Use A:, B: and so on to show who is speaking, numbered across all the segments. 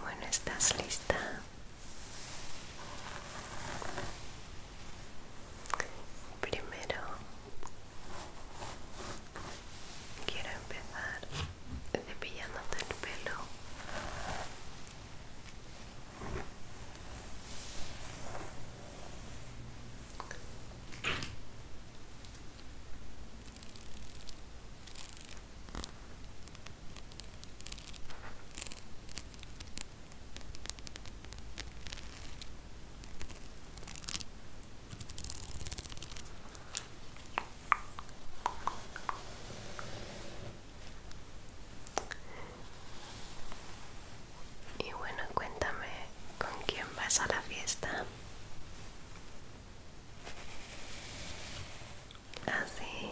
A: Bueno, ¿estás lista? Primero quiero empezar cepillándote el pelo. Y bueno, cuéntame con quién vas a la fiesta. Así.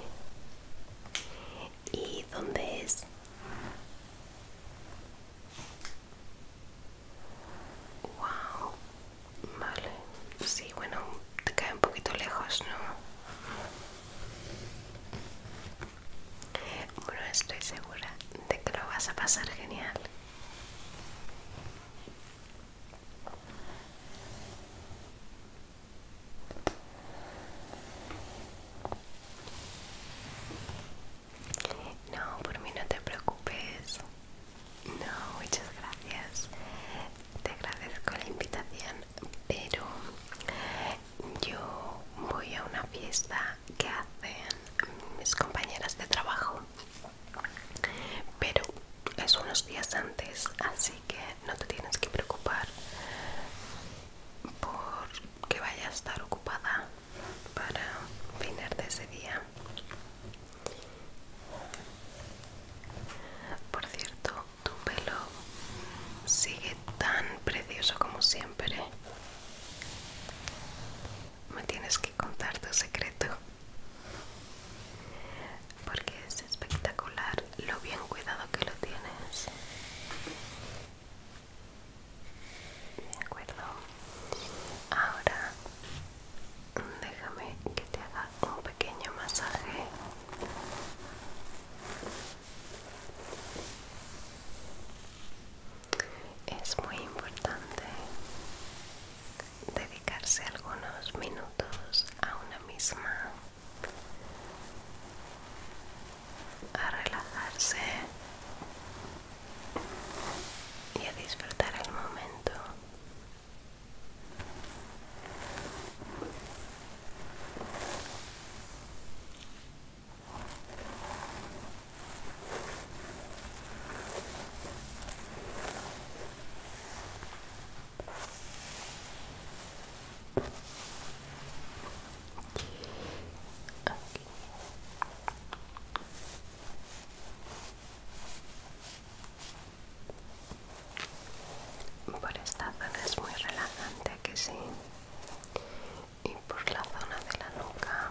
A: ¿Y dónde es? Wow. Vale. Sí, bueno, te cae un poquito lejos, ¿no? Bueno, estoy segura de que lo vas a pasar genial. No, por mí no te preocupes. No, muchas gracias. Te agradezco la invitación, pero yo voy a una fiesta que hacen mis compañeras de trabajo pero es unos días antes así que no te tienes que preocupar por que vaya a estar ocupada para de ese día por cierto tu pelo sigue tan precioso como siempre me tienes que contar tu secreto porque es espectacular lo bien cuidado que lo tienes de acuerdo ahora déjame que te haga un pequeño masaje es muy importante dedicarse algunos minutos a una misma, a relajarse y a disfrutar el momento. Por esta zona es muy relajante, que sí. Y por la zona de la nuca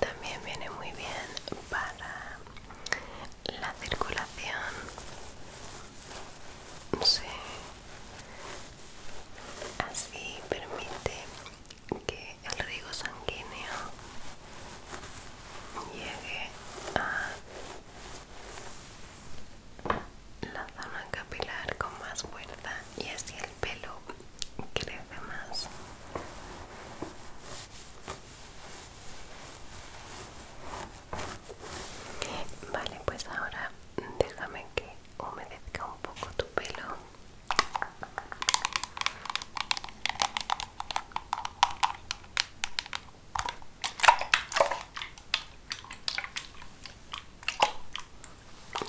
A: También viene muy bien para la circulación. Así permite que el riego sanguíneo llegue a la zona capilar con más fuerza y así pelo crece más vale pues ahora déjame que humedezca un poco tu pelo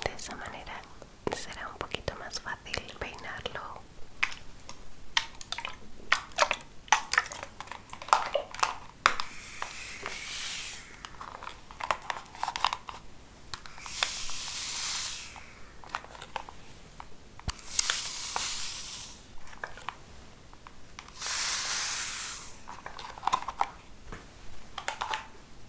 A: de esa manera será un poquito más fácil peinarlo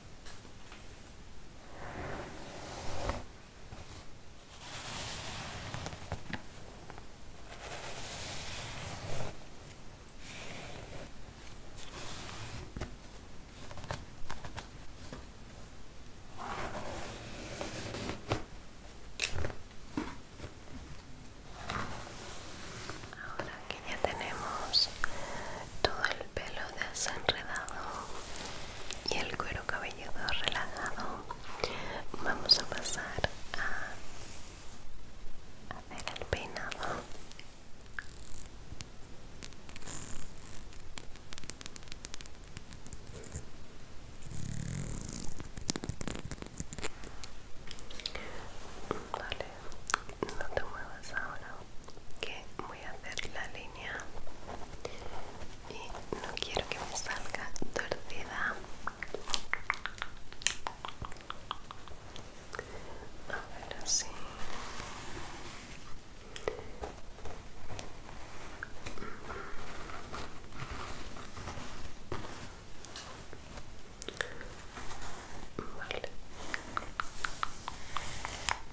A: Ahora que ya tenemos todo el pelo desenredado y el cuero cabelludo relajado. Vamos a pasar a hacer el peinado. Vale, no te muevas ahora, que voy a hacer la línea y no quiero que me salga torcida a así Vale.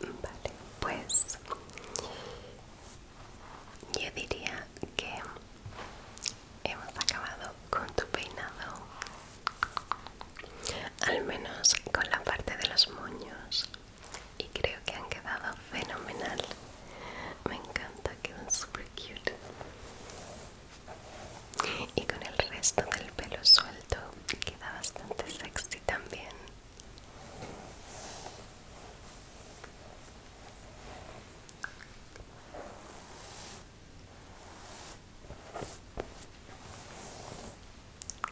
A: Vale, pues yo diría que hemos acabado con tu peinado, al menos con la parte de los moños, y creo que han quedado fenomenal. Me encanta, quedan super cute. Y con el resto del pelo suelto queda bastante sexy también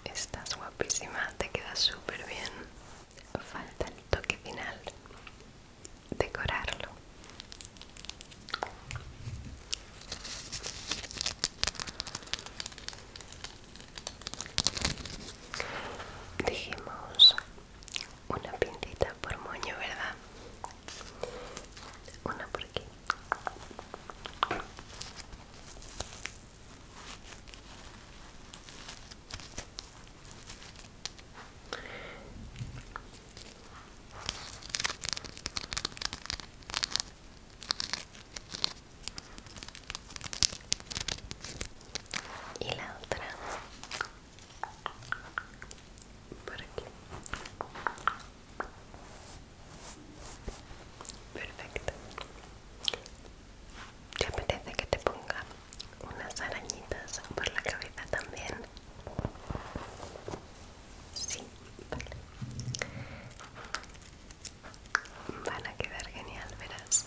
A: Estás guapísima, te queda súper bien. Falta el toque final, decorarlo. Dijimos una pintita por moño, ¿verdad? Una por aquí y la otra por aquí perfecto te apetece que te ponga unas arañitas por la cabeza también sí vale Van a quedar genial, verás.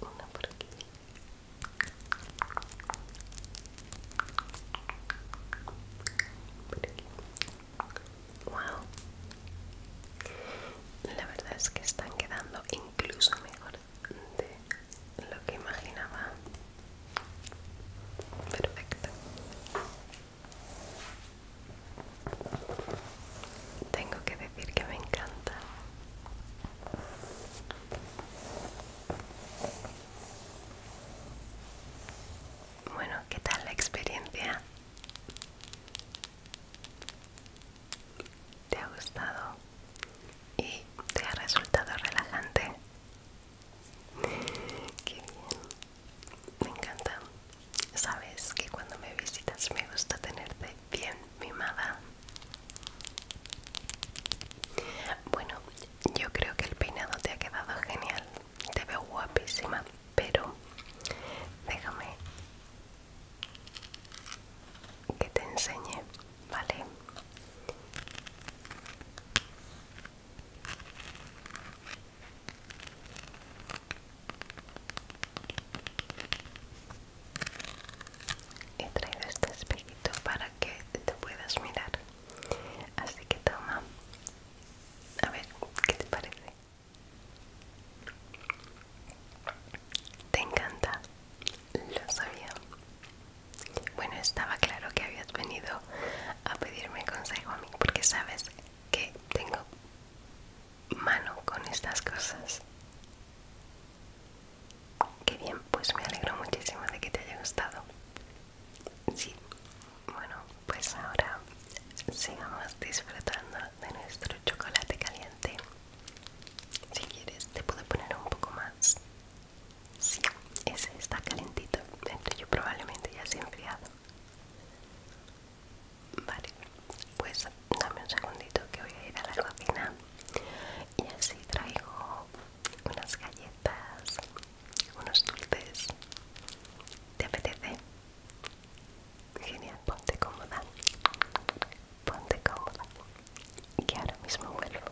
A: una por Por aquí. Wow. La verdad es que están quedando incluso mejor de lo que imaginaba. Perfecto. Tengo que decir que me encanta. Bueno, ¿qué tal la experiencia? ¿Te ha gustado? ¿Y te ha resultado relajante? Qué bien. Me encanta. Sabes que cuando me visitas me gusta tenerte bien mimada. Bueno, yo creo que el peinado te ha quedado genial. Te veo guapísima, pero déjame que te enseñe, ¿vale? He traído este espejito para que te puedas mirar. Así que toma. A ver, ¿qué te parece? Te encanta. Lo sabía. Bueno, estaba claro que habías venido a pedirme consejo a mí porque sabes que tengo mano con estas cosas. Qué bien, pues me alegro muchísimo de que te haya gustado. Sí, bueno, pues ahora sigamos disfrutando de nuestro chocolate caliente. Si quieres, te puedo poner un poco más. Sí, ese está calentito. dentro yo probablemente ya se ha enfriado. Vale, pues dame un segundito que voy a ir a la cocina. Y así traigo unas galletas, unos dulces. ¿Te apetece? Genial, ponte cómoda. Ponte cómoda. Que ahora mismo vuelvo.